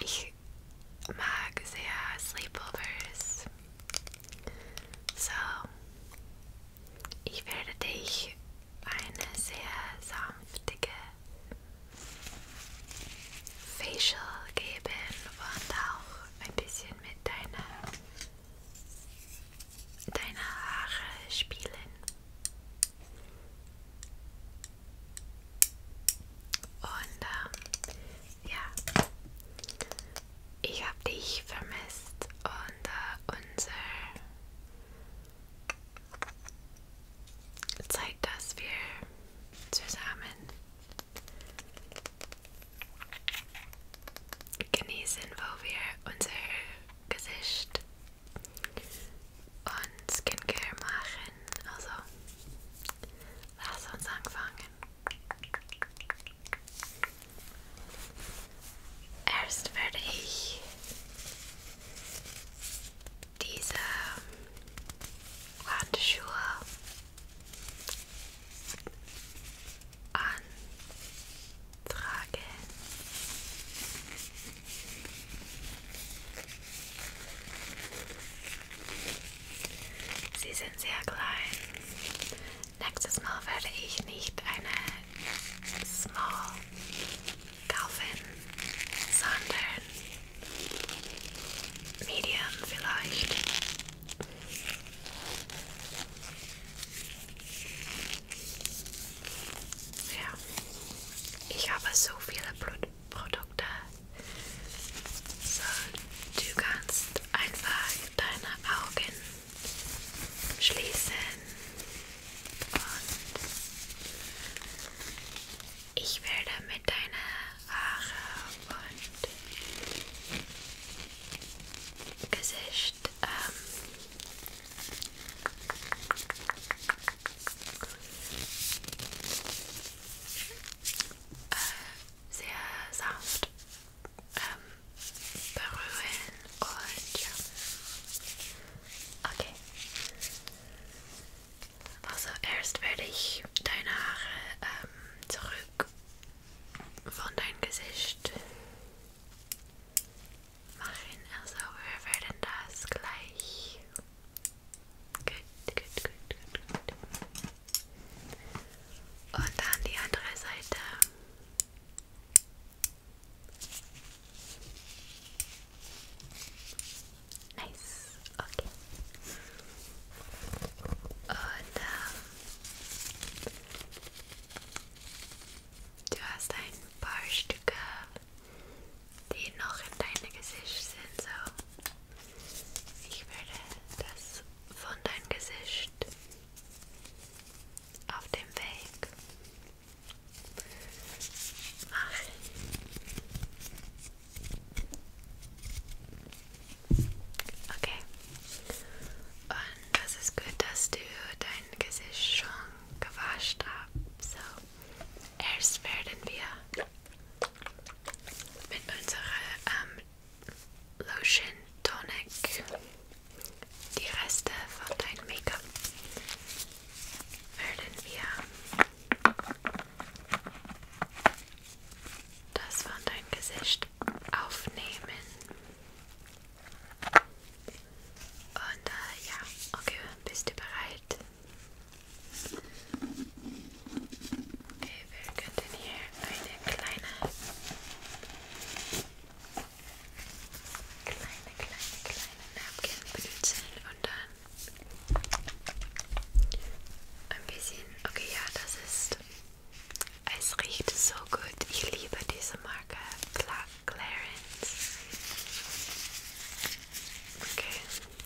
Ich mag sehr Sleepovers. So, ich werde dich eine sehr sanftige Facial geben und auch ein bisschen mit deiner, deiner Haare spielen. Und ähm, ja, ich habe dich vermisst und äh, unsere Zeit, dass wir zusammen genießen, wo wir unser Gesicht und Skincare machen. Also, lass uns anfangen. Erst werde ich diese Handschuhe antragen. Sie sind sehr klein. Nächstes Mal werde ich nicht eine Small kaufen, sondern Medium vielleicht. Ja, ich habe so viele Produkte. Produkte. So, du kannst einfach deine Augen schließen und ich werde mit deinen Haare und Gesicht ähm, äh, sehr sanft ähm, berühren und ja. Okay. Also erst werde ich deine Haare ähm, zurück von deinem Gesicht machen. Also wir werden das gleich Gut, gut, gut, gut, gut. Und dann die andere Seite. Nice, okay. Und ähm, du hast ein paar Stücke die noch in deinem Gesicht sind. So. Ich würde das von deinem Gesicht auf dem Weg machen. Okay. Und das ist gut, dass du dein Gesicht schon gewascht hast. So, erst werden wir mit unserer ähm, Lotion Tonic die Reste von deinem Make-up werden wir das von deinem Gesicht aufnehmen. Und äh, ja, okay, bist du bereit? Okay, wir könnten hier eine kleine, kleine, kleine, kleine Napkin benutzen und dann ein bisschen, okay, ja, das ist, es riecht so gut. Ich liebe diese Marke, Clarence. Okay.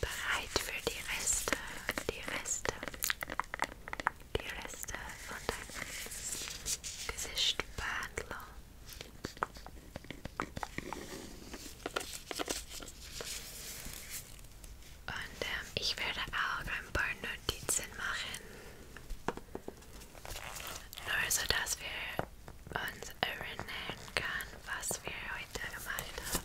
Bereit für die Reste, die Reste, die Reste von deinem Gesicht behandeln. Und ähm, ich werde auch ein paar Notizen machen, nur so dass wir uns erinnern können, was wir heute gemacht haben.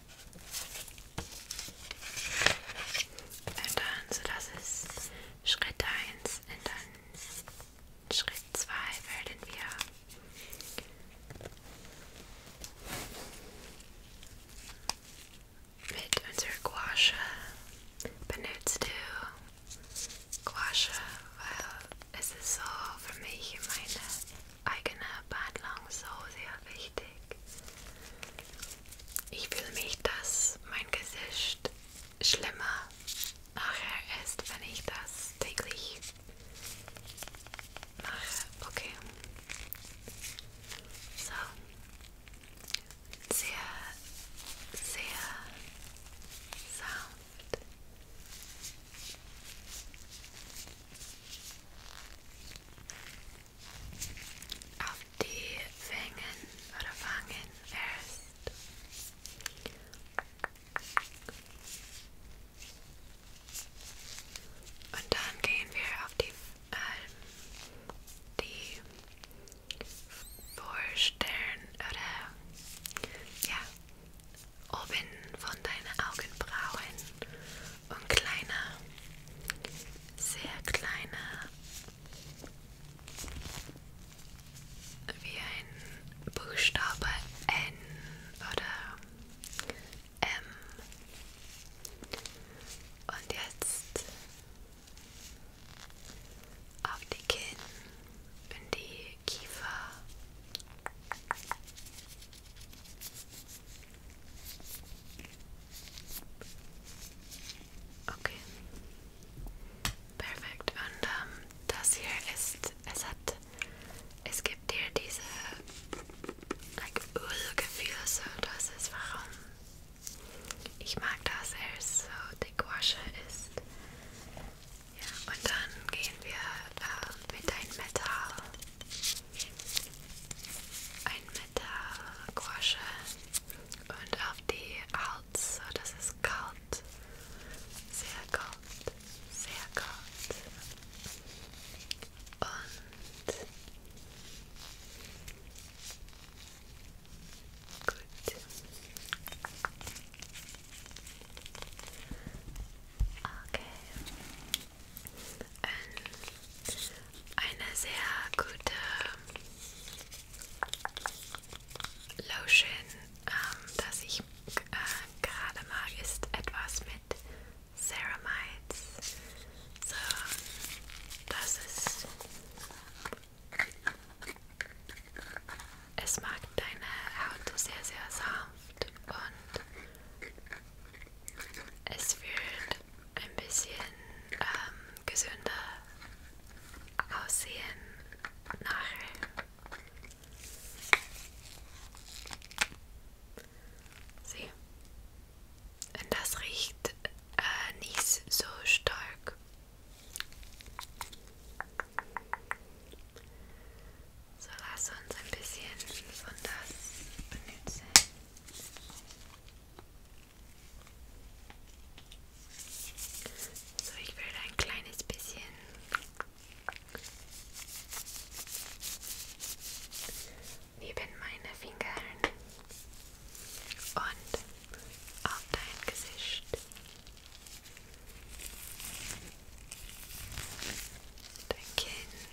Und dann, so das ist Schritt 1 und dann Schritt 2 werden wir mit unserer Gouache benutzt du Gouache, weil es ist so für mich meine eigene Behandlung so sehr wichtig. Ich will nicht, dass mein Gesicht schlimmer nachher ist, wenn ich das täglich mache. Okay. So. Sehr, sehr sanft auf die Fängen oder Wangen erst. Und dann gehen wir auf die, ähm, die Vorstern oder ja, oben von deinen Augenbrauen und kleine, sehr kleine, wie ein Buchstabe N oder M. Und jetzt auf die Kinn und die Kiefer. Okay. Perfekt. Und ähm, das hier ist, es hat, es gibt dir diese like, Ölgefühl, so das ist warum. Ich mag das, er ist so dick wasche ist. Ja, und dann gehen wir äh, mit einem Metall ein Metallgrosche und auf die Hals, so dass es kalt, sehr kalt, sehr kalt und gut. Okay, ähm, eine sehr gute ähm, Lotion, ähm, das ich äh, gerade mag, ist etwas mit Ceramides. So, das ist. Es macht deine Haut sehr, sehr sanft und es wird ein bisschen ähm, gesünder aussehen nachher. Sieh. Und das riecht äh, nicht so stark. So, lass uns ein bisschen von das benutzen. So, ich werde ein kleines bisschen neben meine Finger und auf dein Gesicht. Dein Kinn.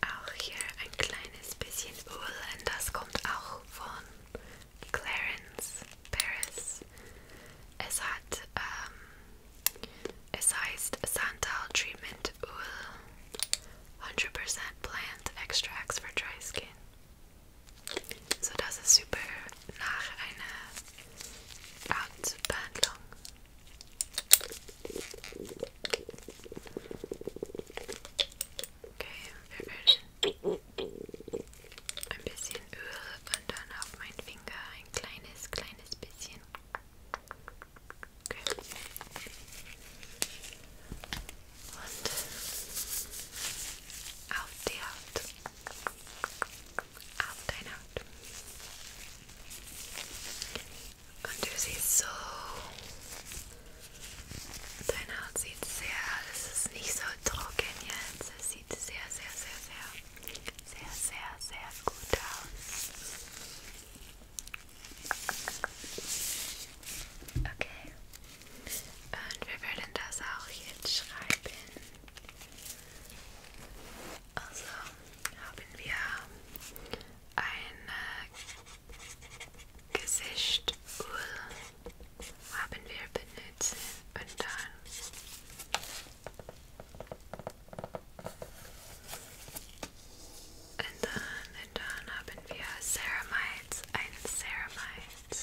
Auch hier ein kleines bisschen Öl und das kommt auch von Clarence Paris. Es hat, ähm, es heißt Santal Treatment Öl 100% Plant Extracts for Dry Skin. So, das ist super nach einer Hautbehandlung. Okay, wir würden ein bisschen Öl und dann auf meinen Finger ein kleines, kleines bisschen. Okay. Und auf die Haut. Auf deine Haut. Und du siehst so, deine Haut sieht sehr, es ist nicht so trocken jetzt, es sieht sehr, sehr, sehr, sehr, sehr, sehr, sehr gut aus. Okay. Und wir würden das auch jetzt schreiben. Also haben wir ein äh, Gesichtöl haben wir benutzt und dann und dann, und dann haben wir Ceramides, ein Ceramides.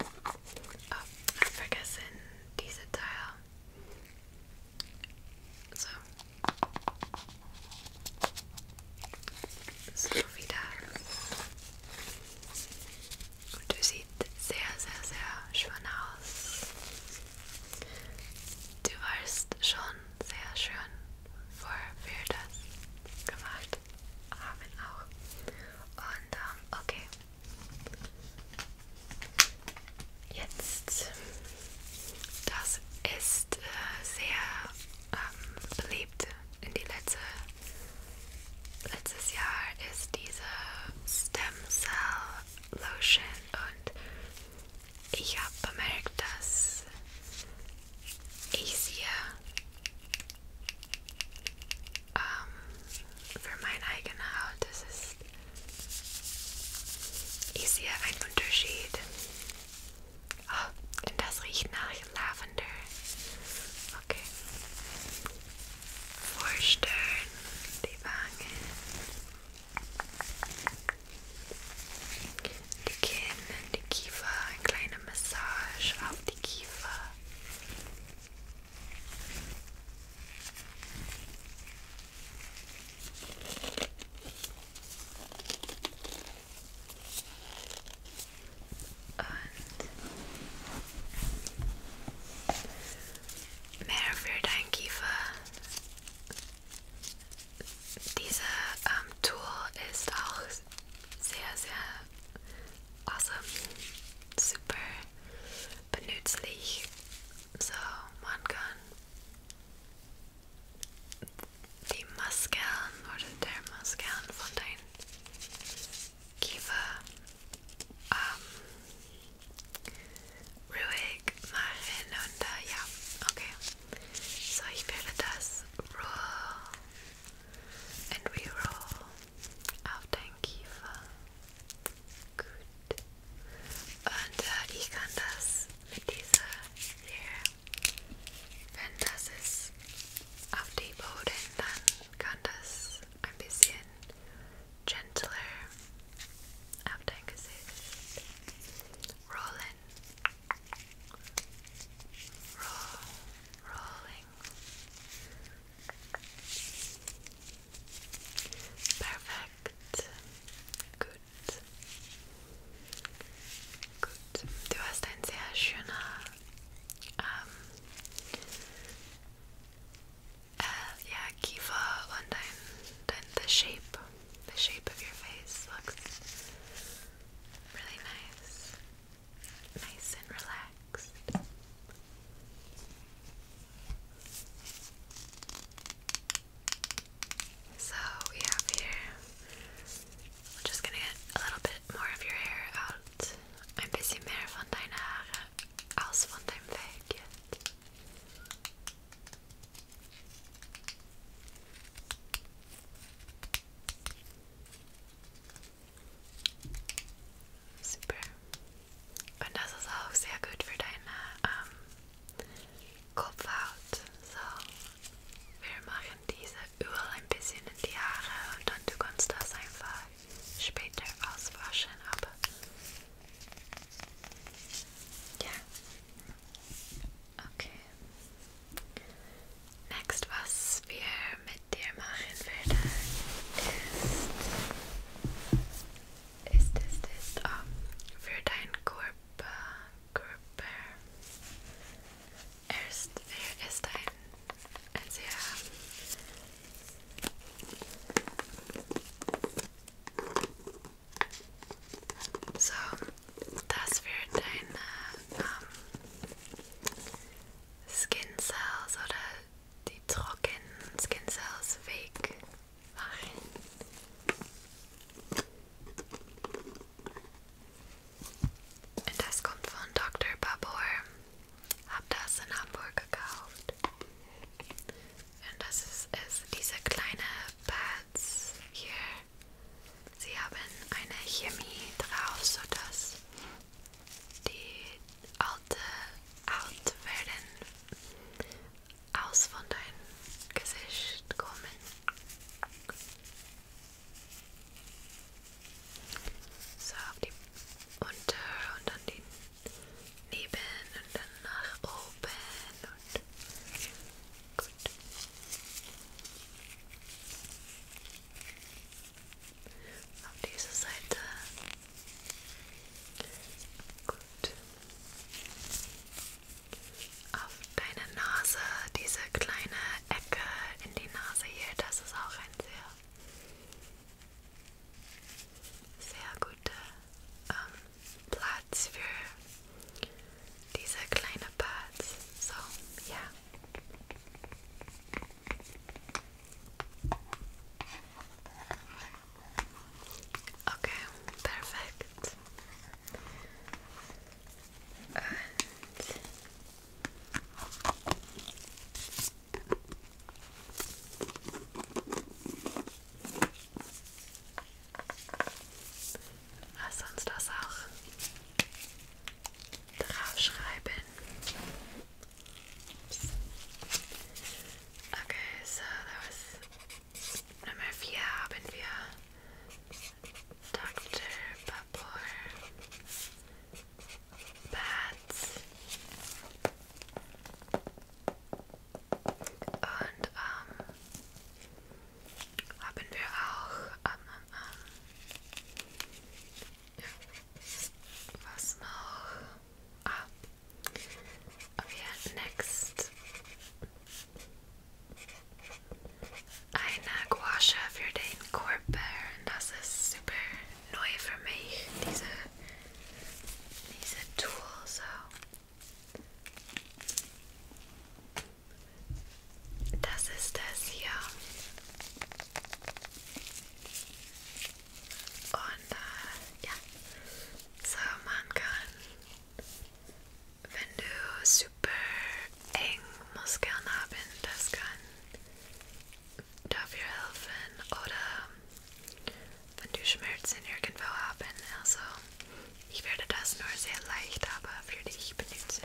Oh, vergessen diese Teil. So. So wieder. Und du siehst sehr, sehr, sehr schön aus. Du warst schon sehr schön, vor wir das gemacht haben auch. Und ähm, okay. Jetzt, das ist äh, sehr ähm, beliebt in die letzte, letztes Jahr ist diese Stem Cell Lotion und ich habe bemerkt, dass ich sie ähm, für meine eigene Haut. Das ist ich sehe einen Unterschied. Oh, und das riecht nach Lavender. Okay. Vorstern, die Wangen, die Kinn, die Kiefer, eine kleine Massage auf die Kiefer. Und mehr für dein Kiefer. Diese ähm, Tool ist auch sehr, sehr awesome, super benützlich. So, man kann die Masken oder der Masken von deinem Kiefer ähm, ruhig machen und äh, ja, okay. So, ich werde das roh and we roll auf deinen Kiefer. Gut. Und äh, ich kann das mit dieser hier, wenn das ist auf die Boden, dann kann das gentler auf dein Gesicht rollen. rolling, Perfect. Gut. Gut. Du hast ein sehr schöner, ähm, shape, the shape of your face looks really nice nice and relaxed. So we have here, we're just gonna get a little bit more of your hair out. Ein bisschen mehr von deinen Haare aus von deinem Super. Und das ist auch sehr gut für deine ähm, Kopfhaut. So, wir machen diese Öl ein bisschen in die Haare und dann du kannst das einfach später auswaschen. Aber ja, okay. Next, was wir mit dir machen werden, ist, ist, ist, ist oh, für deinen Körper, Körper. Er ist, er ist ein, ein sehr so, das wird ein ähm, Skin Cells oder die trockenen Skin Cells weg machen. Und das kommt von Dr. Babor. Hab das in Hamburg gekauft. Und das ist, ist diese kleine Pads hier. Sie haben eine Chemie drauf, sodass die alte alt werden aus von deinem Gesicht kommen. So auf die unter und dann die neben und dann nach oben und gut. Auf diese Seite. Gut. Auf deine Nase, diese kleine Ecke in die Nase hier, das ist auch ein sehr, sehr guter ähm, Platz für diese kleine Parts. So, ja. Yeah. Okay, perfekt. Und Lass uns das auch draufschreiben. Oops. Okay, so that was Nummer 4 haben wir Dr. Babur Bats und ähm, haben wir auch ähm, ähm, ähm, Was noch? Ah. Okay, next. Eine Gouache für den Körper. Das ist super neu für mich, diese, diese Tool. So. Das ist das hier. Und äh, ja, so man kann, wenn du super eng Muskeln haben, das kann dafür helfen oder wenn du Schmerzen irgendwo haben. Also ich werde das nur sehr leicht aber für dich benutzen.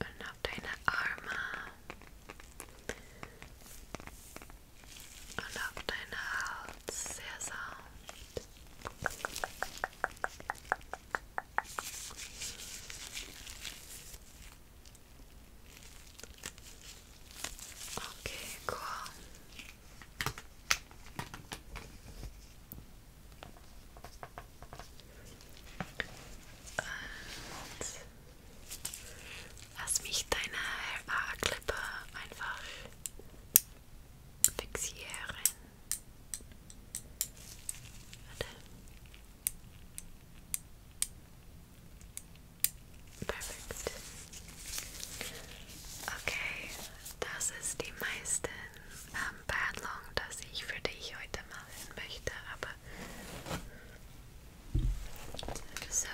Und auf deine Arme. Und auf deine Haut. Sehr sanft. Okay, cool. Und lass mich deine Haarklippe einfach fixieren. Warte. Perfekt. Okay, das ist die meisten ähm, Badlong, das ich für dich heute machen möchte. Aber so.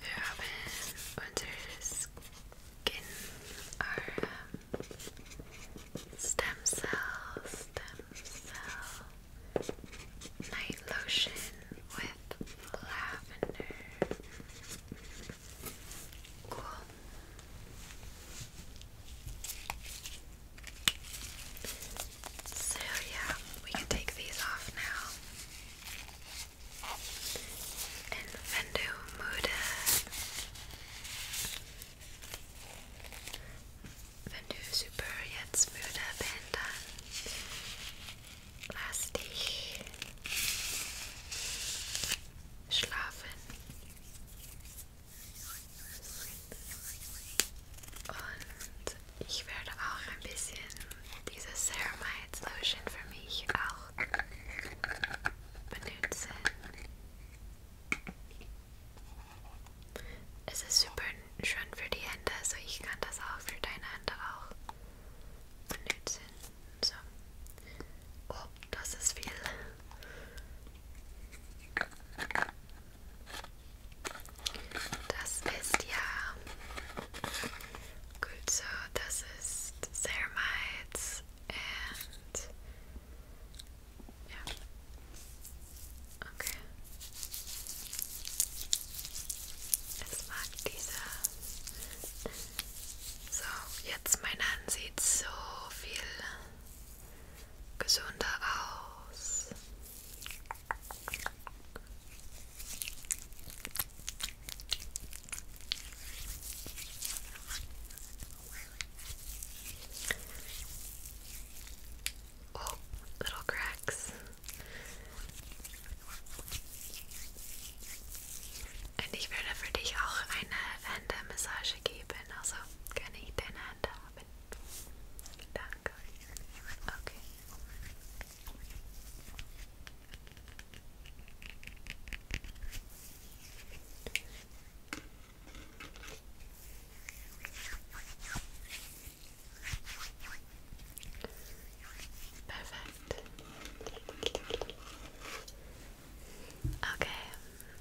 Wir haben Skin, our um, stem cells, stem cell night lotion with lavender. So, yeah, we can take these off now. Vendu Muda. Vendu Super Jetzt Muda Panda. Plastic. schlafen. Und ich werde auch ein bisschen diese Ceramides Lotion für mich auch benutzen. Es ist super schön für die Hände, so also ich kann das auch für deine Hände auch benutzen. So. Oh, das ist viel. Das ist ja gut so. Das ist Ceramides and ja. Okay. Es mag dieser So, jetzt mein Hand sieht so viel gesünder Oh, little cracks. Und ich würde für dich auch eine Hände-Massage geben, also kann ich deine Hände haben. Danke. Okay. Perfekt. Okay,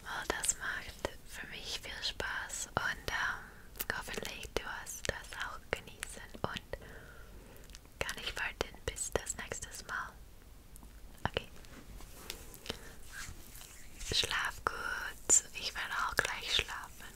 well, das macht für mich viel Spaß und ähm, hoffentlich du hast das auch genießen und kann ich warten bis das nächste Mal. Okay. Schlaf gut. Ich werde auch gleich schlafen.